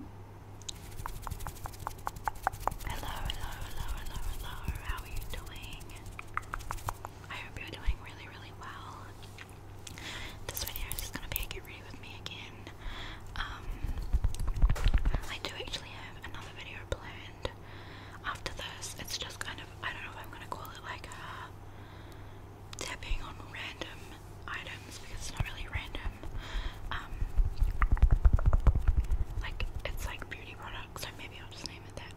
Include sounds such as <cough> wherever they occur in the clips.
Hello, hello, hello, hello, hello. How are you doing? I hope you're doing really, really well. This video is just gonna be a get ready with me again. Um, I do actually have another video planned after this. It's just kind of I don't know if I'm gonna call it like uh, tapping on random items because it's not really random. Um, like it's like beauty products, so maybe I'll just name it that.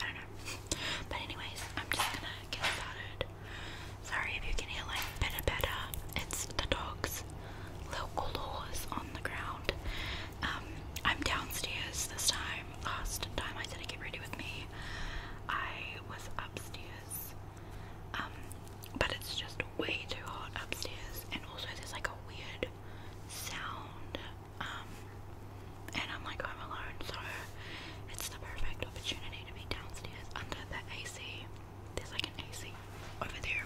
I don't know. <laughs> But anyways, I'm just gonna get started. Sorry if you can hear like better better. It's the dogs. Local laws on the ground. Um, I'm downstairs this time. Last time I said to get ready with me. I was upstairs. Um, but it's just way too hot upstairs, and also there's like a weird sound. Um, and I'm like I'm alone, so it's the perfect opportunity to be downstairs under the AC. There's like an AC over there.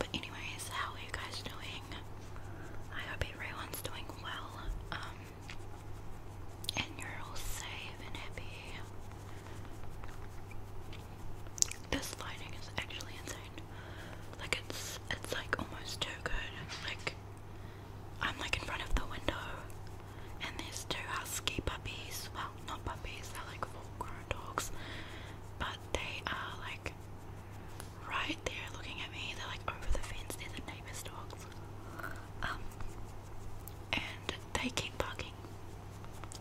But anyways, how are you guys doing? I hope everyone's doing well. Um, and you're all safe and happy. This lighting is actually insane. Like it's it's like almost too good. Like I'm like in front of the window and there's two husky puppies. Well, not puppies, they're like full grown dogs. But they are like right there looking at me. They're like over the fence, they're the neighbor's dogs. Um and they keep bugging.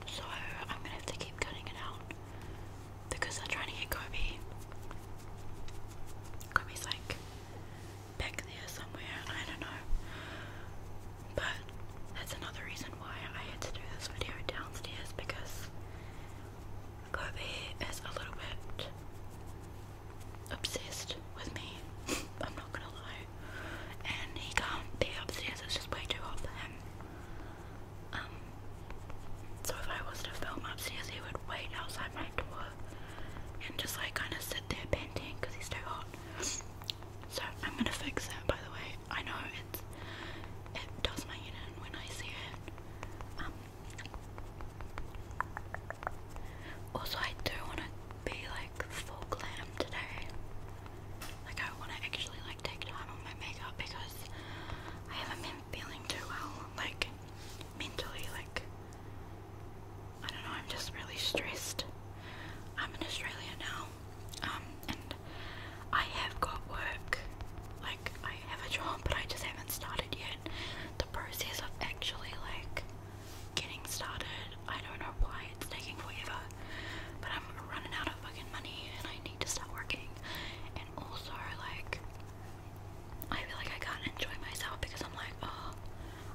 So I'm gonna have to keep cutting it out because they're trying to get Kobe. Kobe's like back there somewhere, I don't know. But that's another reason why I had to do this video downstairs because Kobe is a little bit obsessed with me. <laughs> I'm not gonna lie and he can't be upstairs, it's just way too hot for him. Um, so if I was to film upstairs, he would wait outside my door and just like kind of sit there panting because he's too hot. So I'm gonna fix that. By the way, I know it's it does my head when I see it. Um, also, I do want to be like full glam today. Like I want to actually like take time on my makeup because I haven't been feeling too well, like mentally. Like I don't know, I'm just really stressed. I'm in Australia now, um, and I have got work. Like I have a job, but I just haven't started yet. The process of actually like getting started. I don't know why it's taking forever, but I'm running out of fucking money and I need to start working. And also, like, I feel like I can't enjoy myself because I'm like, oh,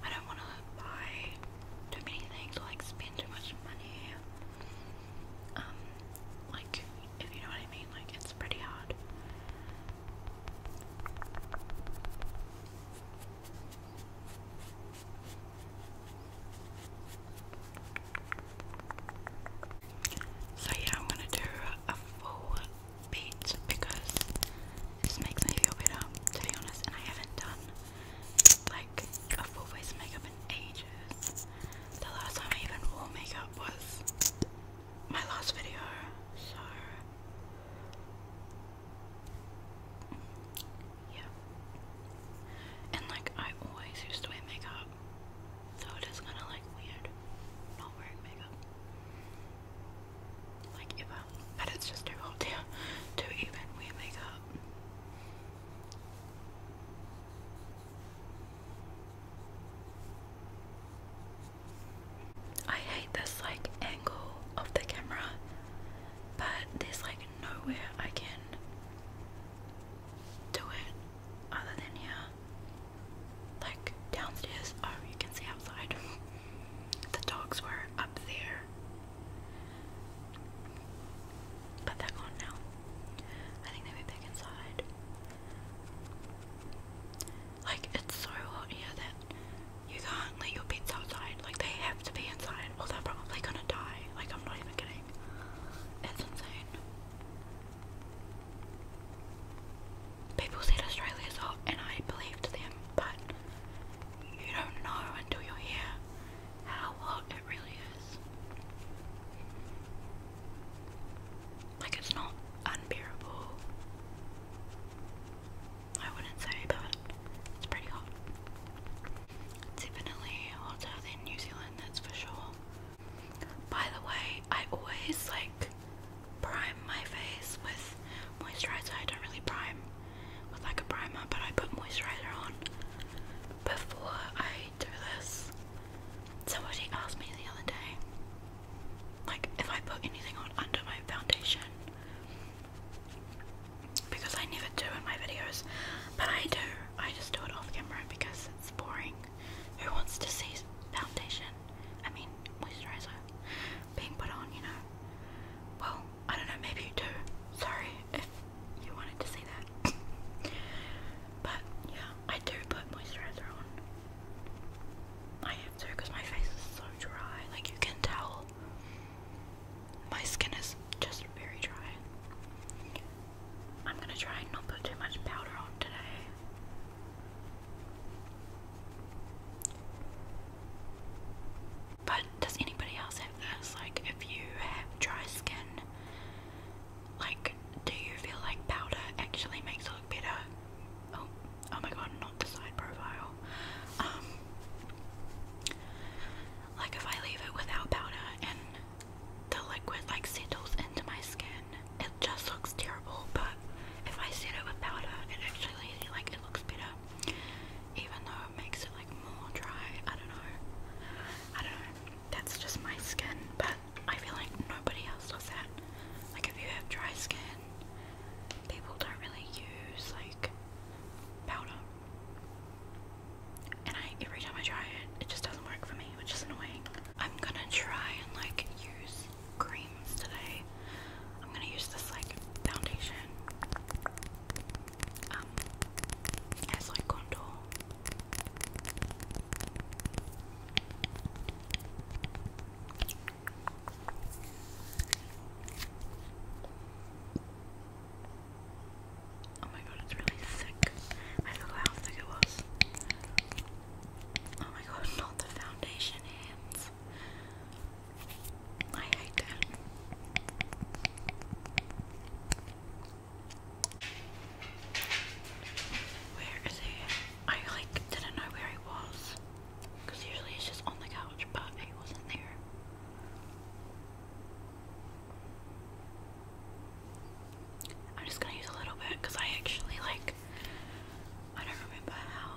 I don't want to buy too many things or like spend too much money. Um, like, if you know what I mean, like, it's pretty hard. So yeah, I'm gonna do a full beat because this makes me feel better, to be honest, and I haven't done like a full face makeup in ages. The last time I even wore makeup was my last video, so yeah. And like I always used to wear makeup. So it is kinda like weird not wearing makeup. Like ever. But it's just too hot here even wear makeup. I hate this like angle of the camera, but there's like nowhere I can do it other than here. Like downstairs, oh, you can see outside. <laughs> The dogs were up there, but they're gone now. I think they went back inside. Like, it's so hot here that you can't let your pets outside. Like they have to be inside, or they're probably gonna die. Like I'm not even kidding. That's insane. People said Australia's hot, and I believed them, but you don't know until you're here how hot it really is. Like it's not unbearable. I wouldn't say, but it's pretty hot. Definitely hotter than New Zealand, that's for sure. By the way, I always like prime my face with moisturizer. I don't really prime with like a primer, but I put moisturizer on before I do this. Somebody asked me the other day, like, if I put anything on under my foundation, because I never do in my videos, but I do. I just do it off camera because it's boring. Who wants to see foundation? I mean, moisturizer being put on, you know? Well, I don't know, maybe you do. Sorry if you wanted to see that. <laughs> but yeah, I do put moisturizer on. I have to because my face is so dry. Like you can tell my skin is just very dry. I'm gonna try and not put too much powder on today. But does anybody else have this? Like, if you have dry skin, like, do you feel like powder actually makes it look better? Oh, oh my god, not the side profile. Um, like if I leave it without powder and the liquid like settles into my skin, it just looks terrible. But if I set it with powder, it actually like it looks better, even though it makes it like more dry. I don't know. I don't know. That's just my skin, but I feel like nobody else does that. Like if you have dry skin, people don't really use like powder. And I every time I try it, it just doesn't work for me, which is annoying. I'm gonna try and like use creams today. I'm gonna use this like foundation um Oh my god, it's really thick. I forgot how thick it was. Oh my god, not the foundation hands. I hate that. Where is he? I like didn't know where he was. Because usually it's just on the couch, but it wasn't there. I'm just gonna use a little bit because I actually like. I don't remember how.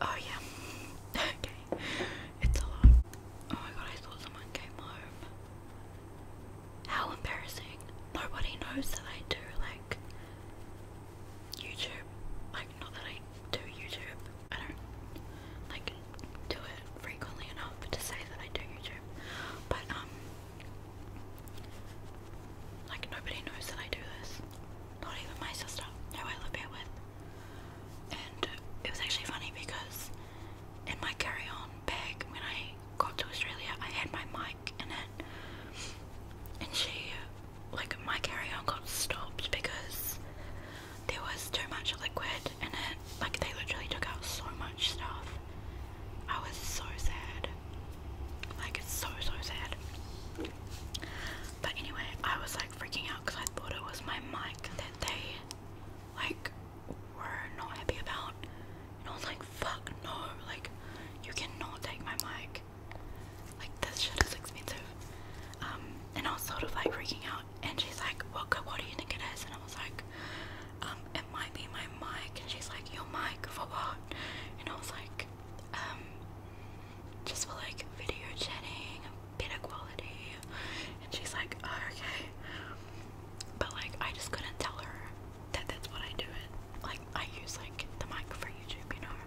Oh yeah. <laughs> okay. It's a lot. Oh my god, I thought someone came home. How embarrassing. Nobody knows that I do like YouTube. Like, not that I do YouTube. I don't like do it frequently enough to say that I do YouTube. But um, like nobody knows that I do this. Not even my sister, who I live here with. And it was actually funny because in my carry-on bag when I got to Australia, I had my mic music it. And she, like, my carry on got stopped because there was too much liquid in it. Like, they literally took out so much stuff. I was so sad. Like, it's so, so sad. But anyway, I was like freaking out because I thought it was my mic that they, like, were not happy about. And I was like, fuck no, like, you cannot take my mic like, this shit is expensive. Um, and I was sort of like freaking out. And she's like, well, what do you think it is? And I was like, um, it might be my mic. And she's like, your mic for what? And I was like, um, just for like video chatting, better quality. And she's like, oh, okay. But like, I just couldn't tell her that that's what I do it. Like I use like the mic for YouTube, you know.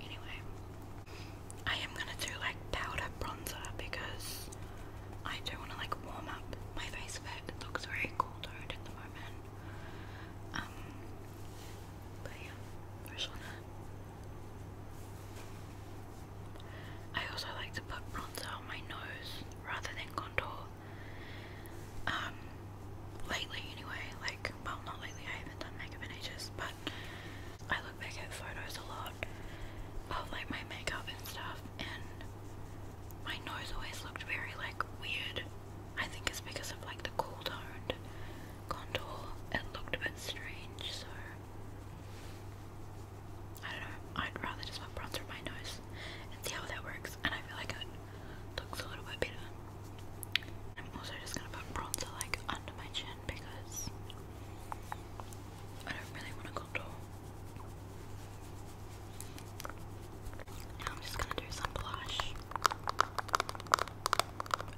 Anyway, I am gonna do like powder bronzer because I do wanna like warm up my face it. looks very cool toned at the moment. Um, but yeah, first on I also like to put bronzer on my nose rather than contour um, lately anyway, like, well, not lately, I haven't done makeup in ages, but I look back at photos a lot of, like, my makeup and stuff, and my nose always looked very, like, weird. I think it's because of, like, the cool toned contour. It looked a bit strange, so... I don't know, I'd rather just put bronzer on my nose and see how that works. And I feel like it looks a little bit better. I'm also just gonna put bronzer like under my chin because I don't really want to contour. Now I'm just gonna do some blush.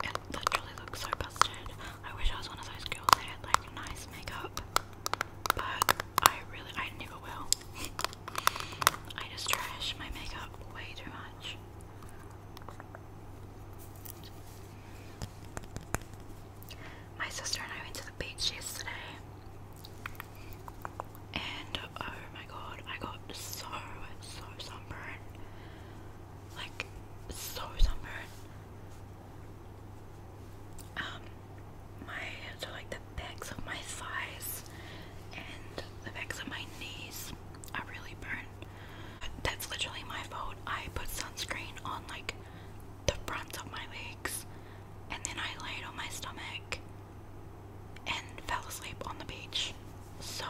It literally looks so busted. I wish I was one of those girls that like nice makeup but I really, I never will. <laughs> I just trash my makeup way too much. My sister and I went to the beach yesterday, and oh my god, I got so, so sunburned. Like, so sunburned. Um, my to like the backs of my thighs and the backs of my knees are really burnt. That's literally my fault. I put sunscreen on like the fronts of my legs and then I laid on my stomach and fell asleep on the beach. So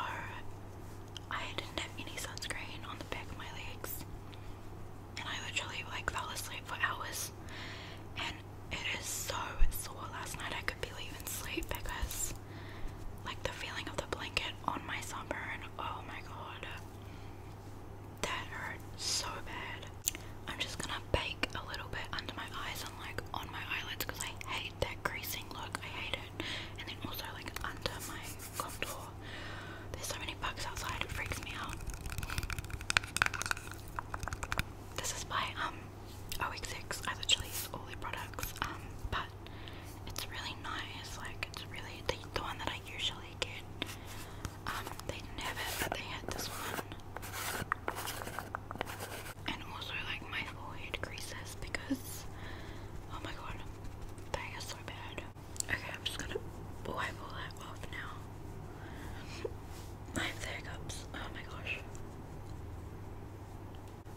I didn't have any sunscreen on the back of my legs. And I literally like fell asleep for hours. And it is so sore. Last night I could barely even sleep because, like, the feeling of the blanket on my sunburn. Oh my god, that hurt so bad. I'm just gonna bake a little bit under my eyes and like on my eyelids because I hate that greasing look. I hate it. And then also like under my contour. There's so many bugs outside. It freaks me out. This is by um six. I literally use all their products, um, but it's really nice. Like it's really the, the one that I usually get. Um, they didn't have it, but they had this one. And also like my forehead creases because oh my god, they are so bad. Okay, I'm just gonna wipe all that off now. <laughs> I have Oh my gosh.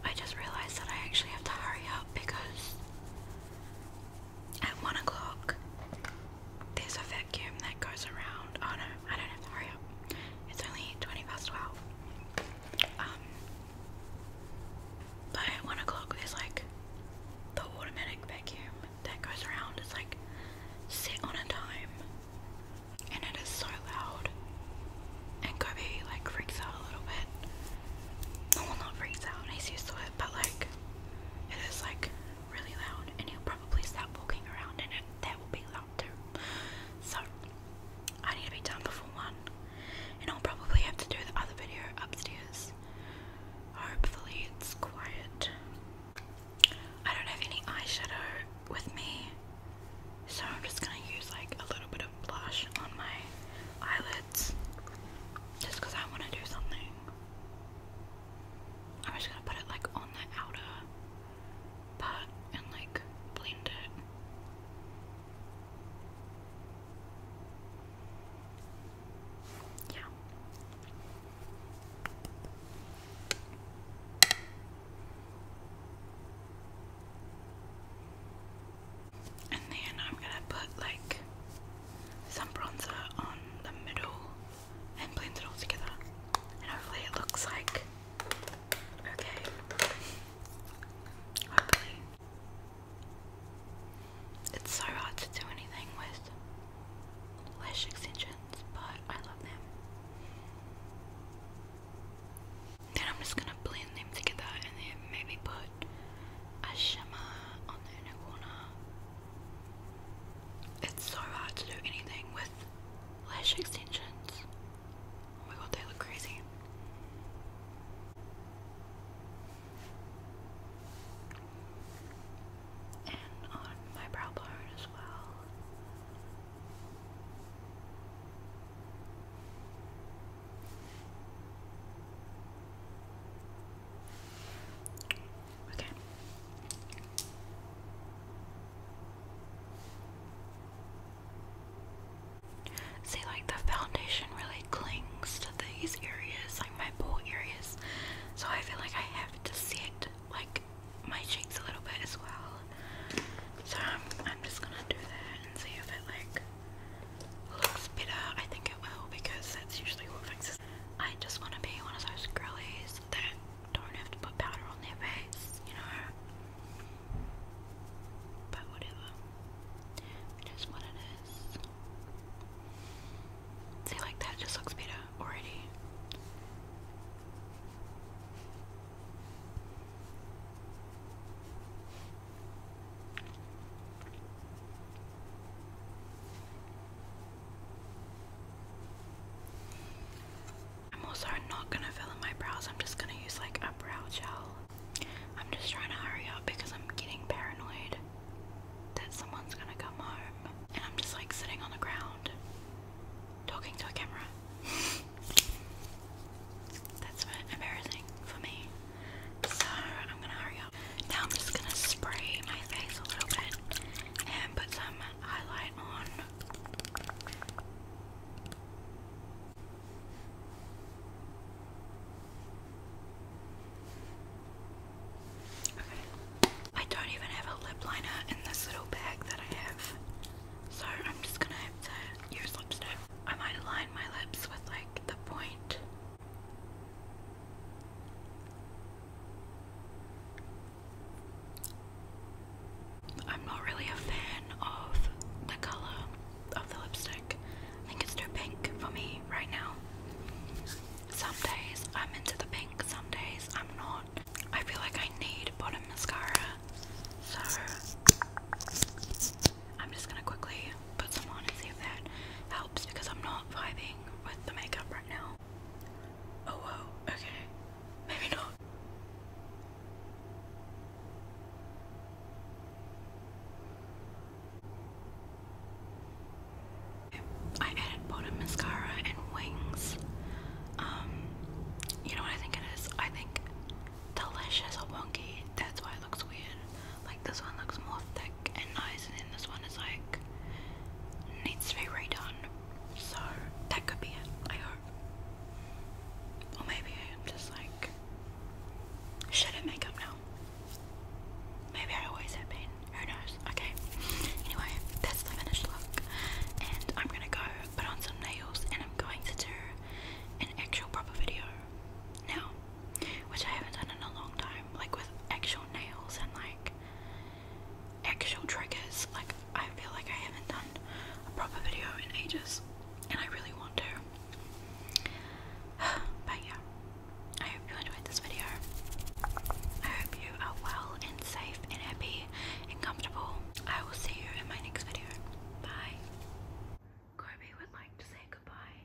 I just realized that I actually have to hurry up because at one o'clock there's a vacuum that goes around. Oh no, I don't have to hurry up. It's only 20 past 12. Um, but at one o'clock there's like the automatic vacuum that goes around. It's like sit on a time, and it is so loud. And Kobe like freaks out a little bit. Well, not freaks out. He's used to it, but like it is like really loud, and he'll probably start walking around and it. That will be loud too. So I need to be done before one, and I'll probably have to do the other video upstairs. Hopefully, it's quiet. I don't have any eyeshadow with me, so I'm just gonna use like a little bit of blush on my eyelids just because I want to do something. I'm just gonna put it like on the outer part and like blend it. Yeah. And then I'm gonna put like some bronzer on the middle and blend it all together. And hopefully it looks like okay. Hopefully. It's so hard to do anything with lash extensions, but I love them. Then I'm just gonna blend them together and then maybe put a shimmer on the inner corner. It's so hard to do anything with lash extensions. Oh my god, they look crazy and on my brow bone as well. Okay. See, like the foundation really clings to these areas, like my pore areas, so I feel like I have to see like my cheeks a little bit as well. So I'm, just gonna do that and see if it like looks better. I think it will because that's usually what fixes. I just want to be one of those girlies that don't have to put powder on their face, you know. But whatever, it is what it is. See, like that just looks better already. I'm also not gonna fill in my brows, I'm just gonna use like a brow gel. I'm just trying to hurry up because I'm getting paranoid that someone's gonna come home, and I'm just like sitting on the ground talking to a camera. <laughs> That's embarrassing for me. So I'm gonna hurry up. Now I'm just gonna spray my face a little bit and put some highlight on. I don't even have a lip liner in this little bag that I have. So I'm just gonna use lipstick. I might align my lips with like the point. I'm not really a fan of the color of the lipstick. I think it's too pink for me right now. Some days I'm into the pink, some days I'm not. I feel like I need bottom mascara, so I'm just gonna quickly put some on and see if that helps because I'm not vibing with the makeup right now. Oh, whoa, okay, maybe not. I added bottom mascara and wings. Um, you know what I think it is? I think delicious wonky. That's why it looks weird. Like this one looks more thick and nice, and this one is like needs to be redone. So that could be it. I hope. Or maybe I'm just like shit makeup now. Maybe I always have been. Who knows? Okay. Anyway, that's the finished look. And I'm gonna go put on some nails and I'm going to do an actual proper video now. Which I haven't done in a long time. Like with actual nails and like actual triggers. Like I feel like I haven't done a proper video in ages. And I really want to. <sighs> but yeah. I hope you enjoyed this video. I hope you are well and safe and happy and comfortable. I will see you in my next video. Bye. Kobe would like to say goodbye.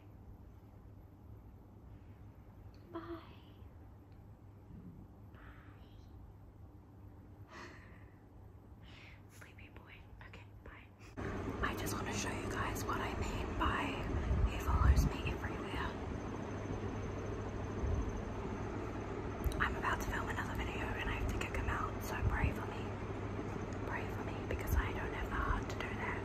Bye. Bye. <laughs> Sleepy boy. Okay, bye. I just want to show you guys what I mean by he follows me everywhere. I'm about to film another video and I have to kick him out, so pray for me. Pray for me because I don't have the heart to do that.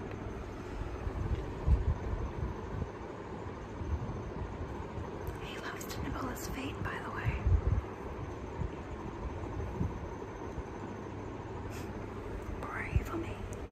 He loves to nibble his by the way. <laughs> Pray for me.